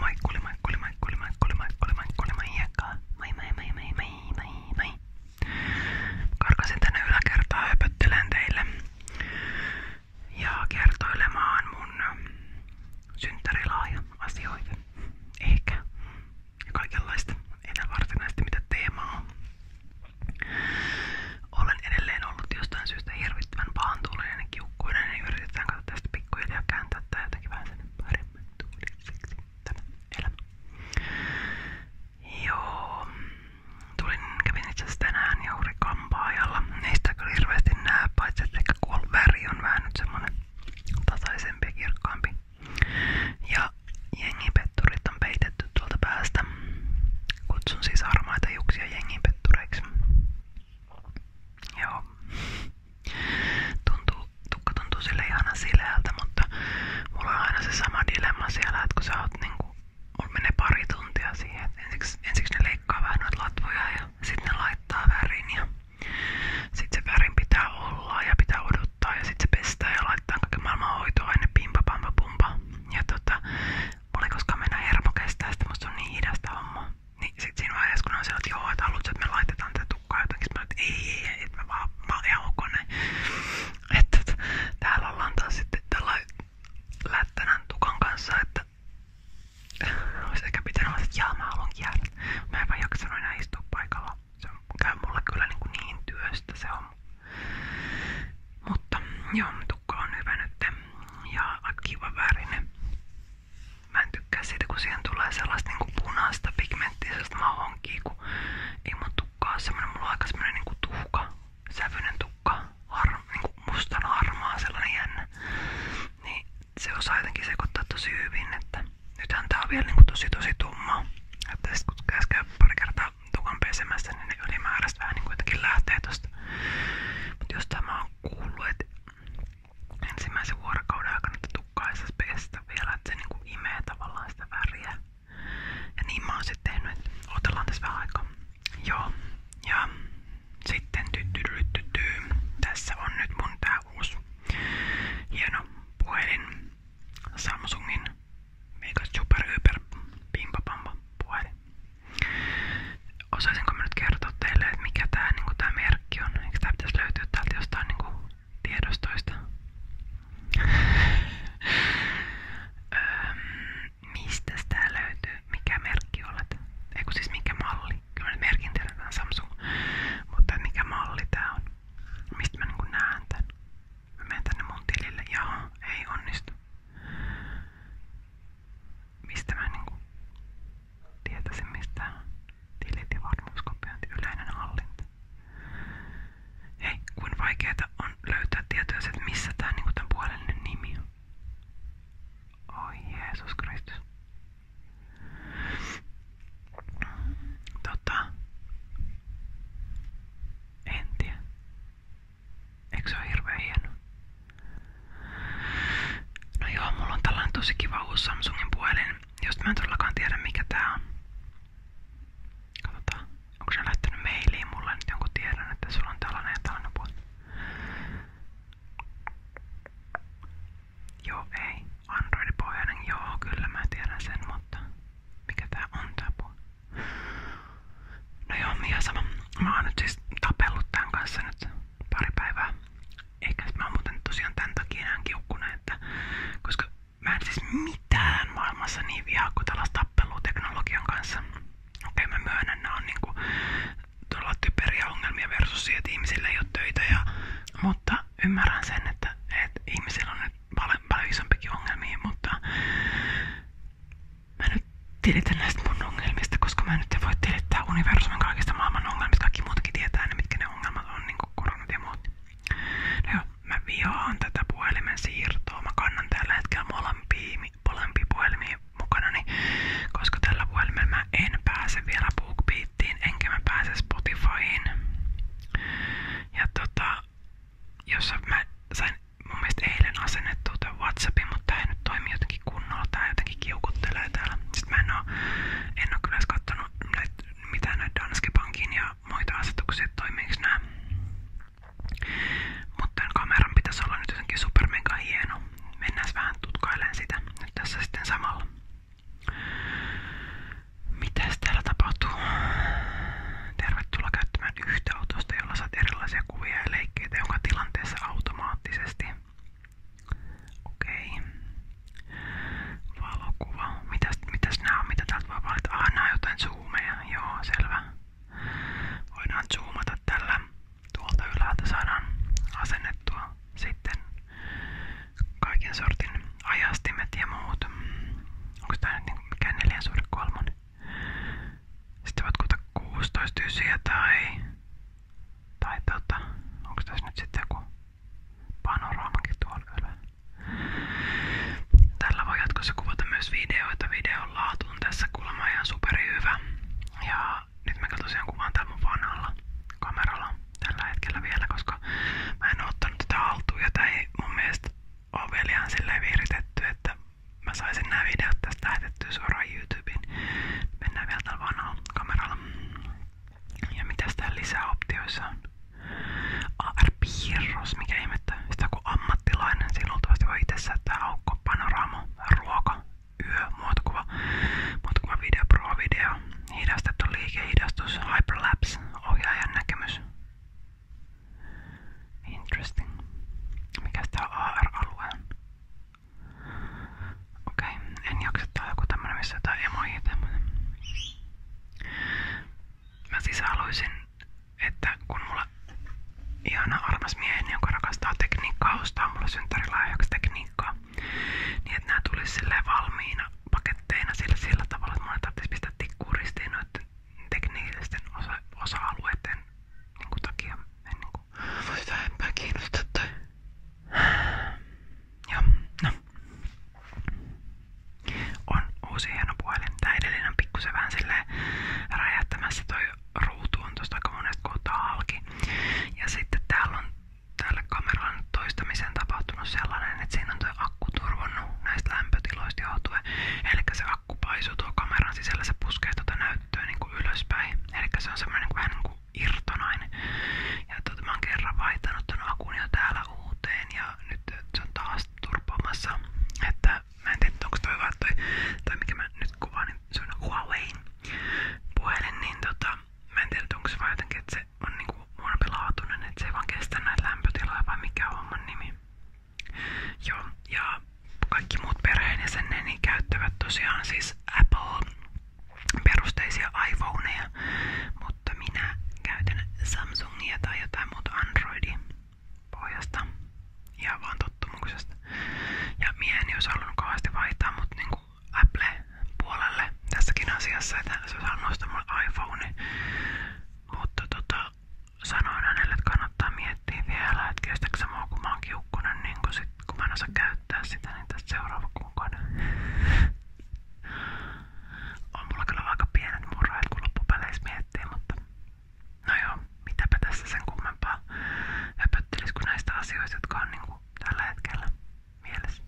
Maikkuli, maikkuli, maikkuli, maikkuli, maikkuli, maikkuli, maikkaa. Mai, mai, mun synttärilaaja asioita. Ehkä. Ja kaikenlaista. Ei mitä teemaa on. Olen edelleen ollut jostain syystä hirvittävän pahantuulinen ja kiukkuinen ja yritetään alkaa tästä pikkuhiljaa kääntää tai jotenkin vähän sen paremmin tuuliseksi tämä elämä. Joo, tulin, kävin itse asiassa tänään juuri kampaajalla. Niistä kyllä hirveästi näe, paitsi että ehkä kuol väri on vähän nyt semmonen tasaisempi ja kirkkaampi. Ja jengipetturit on peitetty tuolta päästä. Kutsun siis harmaita juksia jengipettureiksi. Joo. Tuntuu, tukka tuntuu sille ihan sileältä, mutta mulla on aina se sama dilemma siellä, että kun sä oot niinku, mulla menee pari tuntia siihen, että ensiksi, ensiksi ne leikkaa vähän noita latvoja ja sitten ne laittaa värin ja sitten se värin pitää olla ja pitää odottaa ja sitten se pestää ja laittaa kaiken maailman hoitoaine, pimpa, pampa, pumpa. Ja tota, mulla ei koskaan mennä hermo kestää, sitä musta on niin hidasta hommaa. Niin sit siinä vaiheessa kun ne on siellä, että joo, että haluatko, että me laitetaan tätä tukkaa jotenkin, mä että ei, ei, että mä vaan, mä ihan ok näin. Että et, täällä ollaan taas sitten tällainen lättänän tukan kanssa, että olisi ehkä pitänyt olla, että jaa, mä haluankin jäädä. Mä en vaan jaksanut enää istua paikalla. Se käy mulle kyllä niin, kuin niin työstä se on. Mutta joo, tukka on hyvä nyt ja aika kiva värinen. Mä en tykkää siitä, kun siihen tulee sellaista niinku punaista pigmenttiä, sellaista mahonkia, kun ei mun tukkaa ole semmonen, mulla on aika semmonen niinku tuhka, sävyinen tukka, har, niinku mustan harmaa, sellainen jännä. Niin se osaa jotenkin sekoittaa tosi hyvin, että nythän tää on vielä niinku tosi tosi tumma. Että sit kun käs käy pari kertaa tukan pesemässä, niin ne ylimääräiset vähän niinku jotenkin lähtee tosta. Mut jos tämä on kuullut, että ensimmäisen vuorokauden aikana tukkaa ei pestä vielä, että se niinku imee tavallaan sitä väriä. Ja niin mä oon sitten tehnyt, että otellaan tässä vähän aikaa. Joo, ja sitten tyttyryttytyy. Tässä on nyt mun tää uusi hieno puhelin. Samsungin mega super hyper pimpa pampa puhelin osaisinko mä nyt kertoa teille, että mikä tää, niinku, tää merkki on? Eikö tää pitäisi löytyä täältä jostain niinku, tiedostoista? öö, mistä tää löytyy? Mikä merkki olet? Eiku siis mikä malli? Kyllä mä nyt merkin tiedetään Samsung. Mutta mikä malli tää on? Mistä mä niinku näen tän? Mä menen tänne mun tilille. Jaha, ei onnistu. Mistä mä niinku tietäisimmistä tilit ja varmuuskopiointi, yleinen hallinta. Hei, kuin vaikeeta on löytää tietoja että missä tää niinku tämän puolellinen nimi on. Oi Jeesus Kristus. Tota, en tiedä. Eikö se ole hirveän hieno? No joo, mulla on tällainen tosi kiva uusi Samsungin puhelin, josta mä en todellakaan tiedä mikä tää on. Katsotaan, onko se lähtenyt mailiin mulle nyt jonkun tiedän, että sulla on tällainen ja tällainen puhelin. Joo, ei. Android-pohjainen, joo, kyllä mä tiedän sen, mutta mikä tää on tää puhelin? No joo, ihan sama. Mä oon nyt siis tapellut tämän kanssa nyt pari päivää. Ehkä mä oon muuten tosiaan tän takia enää kiukkunen, että koska mä siis mitään maailmassa niin vihaa kuin tällaista teknologian kanssa. Okei mä myönnän, nää on niinku todella typeriä ongelmia versus siihen, että ihmisillä töitä. mutta ymmärrän sen, että, että ihmisillä on nyt paljon, paljon ongelmia, mutta mä nyt tilitän näistä mun ongelmista, koska mä nyt en voi tilitellä että universumin kaikista maailman ongelmista kaikki muutkin tietää ne, mitkä ne ongelmat on, niin kuin koronat ja muut. No joo, mä vihaan tätä puhelimen siirtoa. Mä kannan tällä hetkellä molempia, molempia puhelimia mukana, koska tällä puhelimella mä en pääse vielä BookBeatiin, enkä mä pääse Spotifyin. Ja tota, jossa mä sain mun mielestä eilen asennettua tämän Whatsappin, mutta tää ei nyt toimi jotenkin kunnolla, tää jotenkin kiukuttelee täällä. Sitten mä en oo, en oo kyllä kattonut näitä, mitään näitä Danske Bankin ja muita asetuksia, että toimiiks nää. Mutta tämän kameran pitäisi olla nyt jotenkin super mega hieno. Mennään vähän tutkailemaan sitä nyt tässä sitten samalla. Mitäs täällä tapahtuu? Tervetuloa käyttämään yhtä autosta, jolla saat erilaisia kuvia ja leikkeitä, jonka tilanteessa automaattisesti Okei. Valokuva. Mitäs, mitäs nää on? Mitä täältä voi valita? Ah, nää on jotain zoomeja. Joo, selvä. Voidaan zoomata tällä. Tuolta ylhäältä saadaan asennettua sitten kaiken sortin ajastimet ja muut. Onko tää nyt mikään 4 suhde 3? Sitten voit kuuta 16 ysiä tai tai tota, onko tässä nyt sitten joku panoraamakin tuolla ylä? Tällä voi jatkossa kuvata myös videoita. Videon laatu on tässä kuulemma ihan superi hyvä. Ja nyt mä tosiaan kuvaan täällä mun vanhalla kameralla tällä hetkellä vielä, koska mä en oo ottanut tätä haltuun ja tää ei mun mielestä oo vielä ihan silleen viritetty, että mä saisin nämä videot tästä lähetettyä suoraan YouTubeen. Mennään vielä tällä vanhalla kameralla. Ja mitäs täällä lisäoptioissa on? AR-piirros, mikä ihmettä. Sitä kun ammattilainen, siinä luultavasti voi itse säättää aukko, panoraamo, ruoka, yö, muotokuva, muotokuva video, pro video, hidastettu liike, hidastus, hyperlapse, ohjaajan näkemys. Interesting. Mikäs tää on AR-alueen? Okei, en jaksa tää joku tämmönen, missä jotain emoja tämmönen. Mä siis haluaisin, että kun mulla ihana armas mieheni, joka rakastaa tekniikkaa, ostaa mulle synttärilahjaksi tekniikkaa, niin että nää tulisi silleen valmiina paketteina sillä, sillä tavalla, että mun tarvitsisi pistää tikkuun ristiin noiden teknillisten osa, osa-alueiden niin takia. En niin kuin, voi sitä enpää kiinnostaa tai... No. On uusi hieno puhelin. Tää on pikkusen vähän silleen räjähtämässä toi ruutu on Ja sitten täällä on tälle kameralla toistamiseen tapahtunut sellainen, että siinä on tuo akku näistä lämpötiloista johtuen. Eli se akku paisuu tuo kameran sisällä, se puskee tuota näyttöä niin kuin ylöspäin. Eli se on semmoinen niinku vähän niin kuin irtonainen. Ja tuota, mä oon kerran vaihtanut ton akun jo täällä uuteen ja nyt se on taas turpaamassa. Että mä en tiedä onko toi hyvä toi, tai mikä mä nyt kuvaan, niin se on Huaweiin puhelin, niin tota, mä en tiedä onko se vaan jotenkin, että se on niinku huonompilaatuinen, että se ei vaan kestä näitä lämpötiloja vai mikä on homman nimi. Joo, ja kaikki muut perheen jäseneni käyttävät tosiaan siis Apple perusteisia iPhoneja, mutta minä käytän Samsungia tai jotain muuta Androidia pohjasta ihan vaan tottumuksesta. Ja mieheni olisi halunnut kauheasti vaihtaa mut niinku Apple-puolelle tässäkin asiassa, että se olisi halunnut ostaa mulle iPhone. Mutta tota, sanoin hänelle, että kannattaa miettiä vielä, että kestääkö se mua, kun mä oon kiukkunen, niin kun kun mä en osaa käyttää sitä, niin tästä seuraava kuukauden. On mulla kyllä aika pienet murheet, kun loppupeleissä miettii, mutta no joo, mitäpä tässä sen kummempaa höpöttelis kuin näistä asioista, jotka on niinku tällä hetkellä mielessä.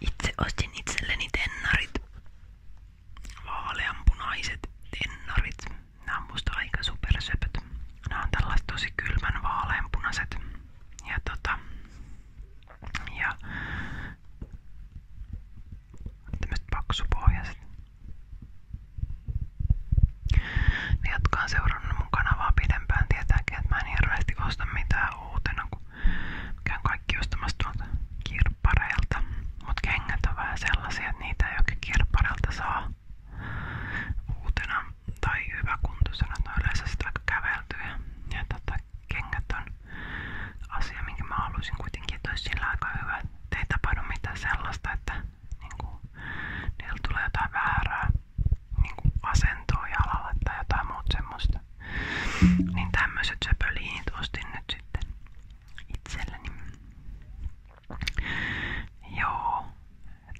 Itse ostin itselleni tennarit. Vaaleanpunaiset tennarit. Nämä on musta aika supersöpöt. Nämä on tällaiset tosi kylmän vaaleanpunaiset ja tota, ja tämmöiset paksupohjaiset. Ne, jotka on kanavaa pidempään, tietääkin, että mä en hirveästi osta uutena, kun käyn kaikki ostamassa tuolta kirppareilta. Mut kengät on vähän sellaisia, niitä ei oikein saa uutena tai hyväkuntoisena tai yleensä sitä käveltyä. Ja tota, kengät on asia, minkä mä haluaisin kuitenkin, että olisi sillä aika hyvä, että ei tapahdu mitään sellaista, että niinku, niillä tulee jotain väärää niinku, asentoa jalalle tai jotain muuta semmoista. Niin tämmöiset söpöliinit ostin nyt sitten itselleni. Joo,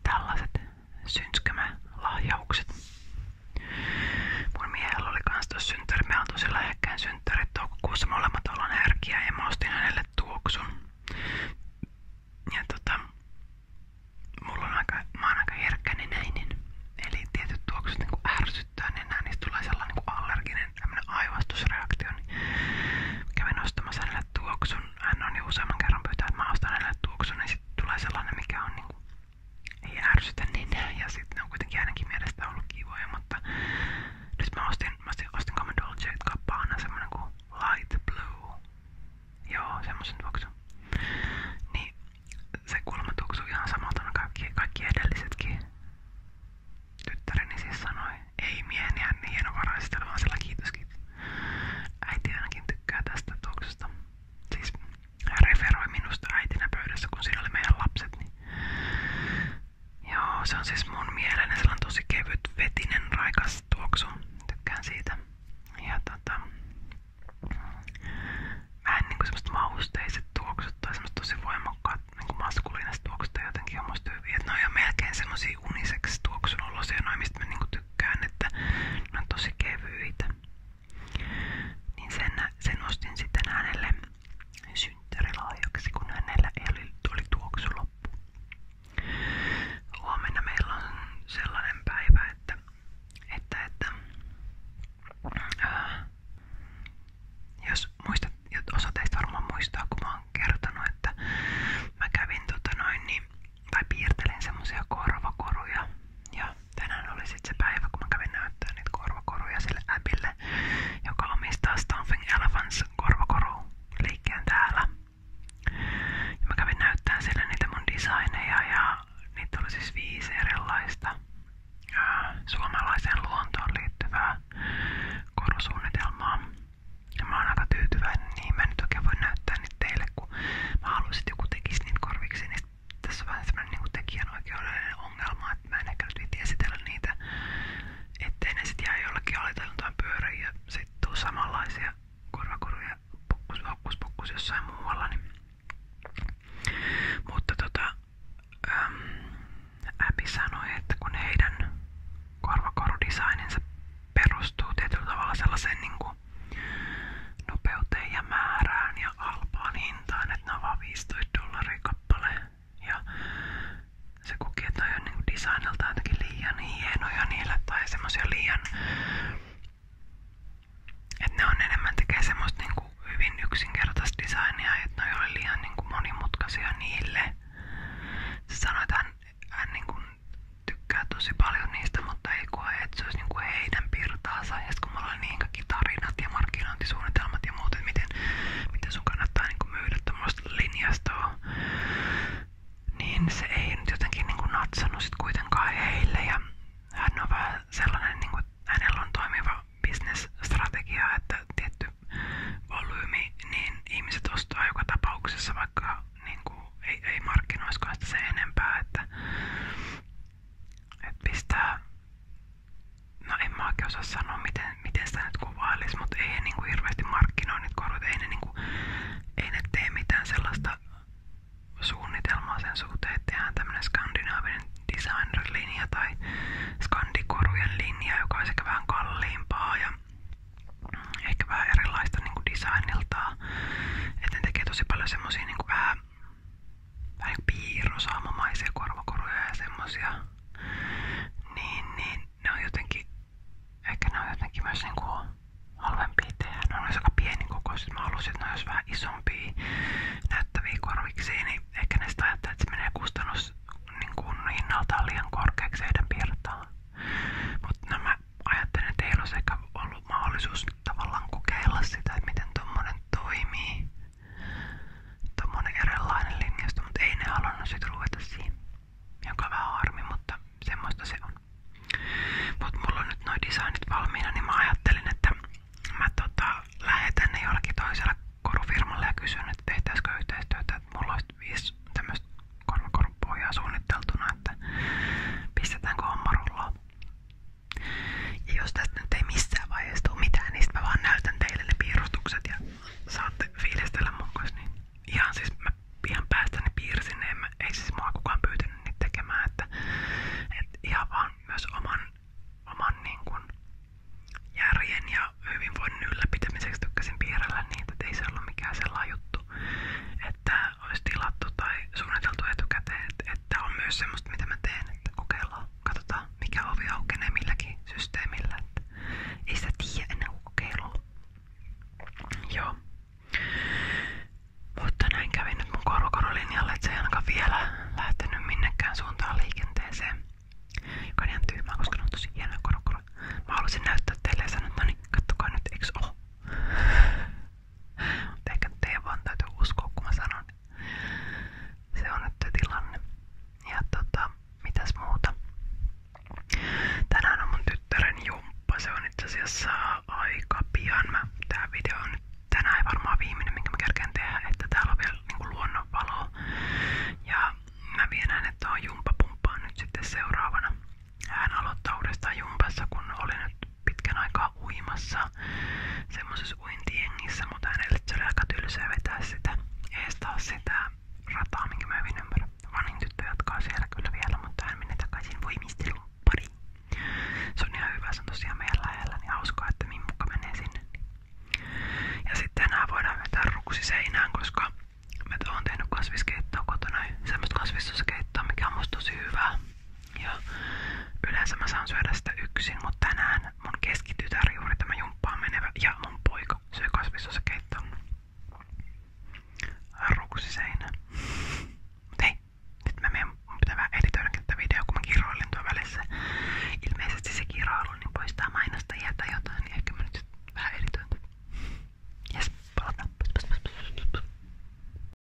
tällaiset synskymälähjaukset. Mun miehellä oli kans tos synttärit. Me on tosi lähekkäin synttärit. Toukokuussa molemmat ollaan härkiä ja mä ostin hänelle tuoksun. Ja tota, mulla on aika, mä oon aika herkkänenäinen. Eli tietyt tuoksut niinku ärsyttää nenää, niin niistä tulee sellainen niinku allerginen tämmönen aivastusreaktio. Niin kävin ostamassa hänelle tuoksun. Hän on jo useamman kerran pyytää, että mä ostan hänelle tuoksun, niin sitten tulee sellainen, mikä on niinku, ei ärsytä niin ja sitten ne on kuitenkin ainakin mielestä ollut kivoja, mutta nyt mä ostin, mä ostin, ostin Common Dolce kappana semmonen kuin Light Blue. Joo, semmosen tuoksu. Niin se kuulemma tuoksuu ihan samalta no kaikki, kaikki edellisetkin. Tyttäreni siis sanoi, ei miehen niin hienovaraisesti, vaan sillä kiitos kiitos. Äiti ainakin tykkää tästä tuoksusta siis hän minusta äitinä pöydässä, kun siinä meidän lapset, niin Joo, se on siis mun mieleni sellainen tosi kevyt, raikas tuoksu. Tykkään siitä. Ja tota... Vähän niinku semmoset mausteiset tuoksut tai semmoset tosi niinku maskuliiniset tuoksut jotenkin on musta hyviä. melkein semmosia uniseksi tuoksun olosia, noin mistä mä niinku tykkään tykkään, että ne on tosi kevyitä. Niin sen, sen ostin sitten hänelle synttärilahjaksi, kun hänellä ei oli, tuli tuoksu loppu. Huomenna meillä on sellainen päivä, että, että, että äh, jos muistat, osa teistä varmaan muistaa, kun mä oon kertonut, että mä kävin tota noin, niin tai piirtelen semmosia korvakoruja. Ja tänään oli sit se päivä, kun mä kävin näyttää niitä korvakoruja sille äpille, joka omistaa Stomping Elephants korvakoru liikkeen täällä. Ja mä kävin näyttää sille niitä mun designeja ja niitä oli siis viisi erilaista ää, suomalaiseen luontoon liittyvää korusuunnitelmaa. Ja mä oon aika tyytyväinen, niin mä nyt oikein voin näyttää nyt teille, kun mä haluaisin, että joku tekisi niitä korviksi, niin tässä on vähän semmoinen niin tekijänoikeudellinen ongelma, että mä en ehkä nyt esitellä niitä, ettei ne sitten jää jollekin aliteltaan pyöriin ja sitten tuu samanlaisia korvakoruja pokkus, pokkus, pokkus jossain muualla. Niin. Mutta tota, äm, Abby sanoi, että kun heidän korvakorudesigninsa perustuu tietyllä tavalla sellaiseen niin kuin nopeuteen että ne on vaan Ja se koki, että on niin designilta jotenkin liian hienoja niille tai semmoisia liian... Että ne on enemmän tekee niin kuin hyvin yksinkertaista designia, että ne ei liian niin kuin monimutkaisia niille. Se sanoi, että hän, hän niin tykkää paljon niistä, mutta ei koe, että niinku heidän pirtaansa. Ja kun mulla oli niin kaikki tarinat ja miten, miten sun niinku myydä tuommoista niin se ei jotenkin niinku natsannut kuitenkaan heille. Ja hän on vähän sellainen, niinku, hänellä on toimiva bisnesstrategia, että tietty volyymi, niin ihmiset ostaa joka tapauksessa, vaikka niinku, ei, ei markkinoiskaan sitä enempää, että et pistää, no en mä oikein osaa sanoa miten, miten sitä nyt kuvailis, mutta ei ne kuin niinku hirveästi markkinoi niitä korut, ei ne, niinku, ei ne tee mitään sellaista suunnitelmaa sen suhteen, että tehdään tämmönen skandinaavinen designer-linja tai skandikorujen linja, joka on sekä vähän kalliimpaa ja ehkä vähän erilaista niin kuin designilta ja että ne tekee tosi paljon semmosia niinku vähän, vähän niinku piirrosaamamaisia korvakoruja ja semmosia. Niin, niin ne on jotenkin, ehkä ne on jotenkin myös niinku halvempia tehdä. Ne on myös aika pieni kokoiset. Mä halusin, että ne olisi vähän isompia näyttäviä korviksia, niin ehkä ne sitä ajattelee, että se menee kustannus niin hinnaltaan liian korkeaksi heidän piirtaan. Mutta nämä ajattelin, että heillä olisi ehkä ollut mahdollisuus tavallaan kokeilla sitä, että miten tommonen toimii. Tommonen erilainen linjasto, mutta ei ne halunnut sit ruveta siihen. Joka on vähän harmi, mutta semmoista se on. Mut mulla on nyt noi designit valmiina, niin mä ajattelin, että mä tota, lähetän ne jollekin toiselle korufirmalle ja kysyn, että tehtäisikö yhteistyötä, että mulla olisi viisi tämmöistä korvakorupohjaa suunniteltuna, että pistetäänkö homma rullaan. Ja jos tästä nyt ei missään vaiheessa tule mitään, niin mä vaan näytän teille ne piirustukset ja saatte fiilistellä mun kanssa. Niin ihan siis mä ihan päästäni piirsin ne, mä, ei siis mua kukaan pyytänyt niitä tekemään, että et ihan vaan myös oman, oman niin kun järjen ja hyvinvoinnin ylläpitämiseksi tykkäsin piirrellä niitä, että ei se ollut mikään sellainen juttu, että olisi tilattu tai suunniteltu etukäteen, että, että on myös semmoista, mitä mä teen, että kokeillaan, katsotaan mikä ovi aukenee milläkin systeemillä, että ei sitä tiedä ennen kuin kokeilua. Joo. Mutta näin kävi nyt mun korokorolinjalle, että se ei ainakaan vielä lähtenyt minnekään suuntaan liikenteeseen. Joka on ihan tyhmää, koska ne on tosi hienoja korokoroja. Mä haluaisin näyttää teille ja sanoa, että no niin, kattokaa nyt, eiks oo? Ehkä teidän vaan täytyy uskoa, kun mä sanon. Se on nyt tilanne. Ja tota, mitäs muuta? Tänään on mun tyttären jumppa. Se on itse asiassa aika pian. Mä, tää video on nyt tänään ei varmaan viimeinen, minkä mä kerkeen tehdä, että täällä on vielä niinku luonnonvaloa. Ja mä vien hänet tuohon jumpapumppaan nyt sitten seuraavana. Hän aloittaa uudestaan jumpassa, kun oli nyt pitkän aikaa uimassa semmoisessa uintiengissä, mutta hänelle se oli aika tylsää vetää sitä eestaa sitä rataa, minkä mä hyvin ymmärrän. Vanhin mutta hän menee takaisin voimistelun pariin. Se on ihan hyvä, se on tosiaan niin hauskaa, että min muka menee sinne. Ja sitten enää voidaan vetää ruksi seinään, koska mä oon tehnyt kasviskeittoa kotona, semmoista kasvissosakeittoa, mikä on tosi hyvää. Ja yleensä mä saan syödä sitä yksin, mutta tänään mun keskitytär juuri tämä jumppaan menevä ja mun poika syö kasvissosakeittoa. Ruksi seinä. Mut hei, nyt mä menen, mun pitää vähän editoidakin tätä videoa, kun mä kiroilin tuon välissä. Ilmeisesti se kiroilu niin poistaa mainostajia tai jotain, niin ehkä mä nyt vähän editoin. Jes, palataan.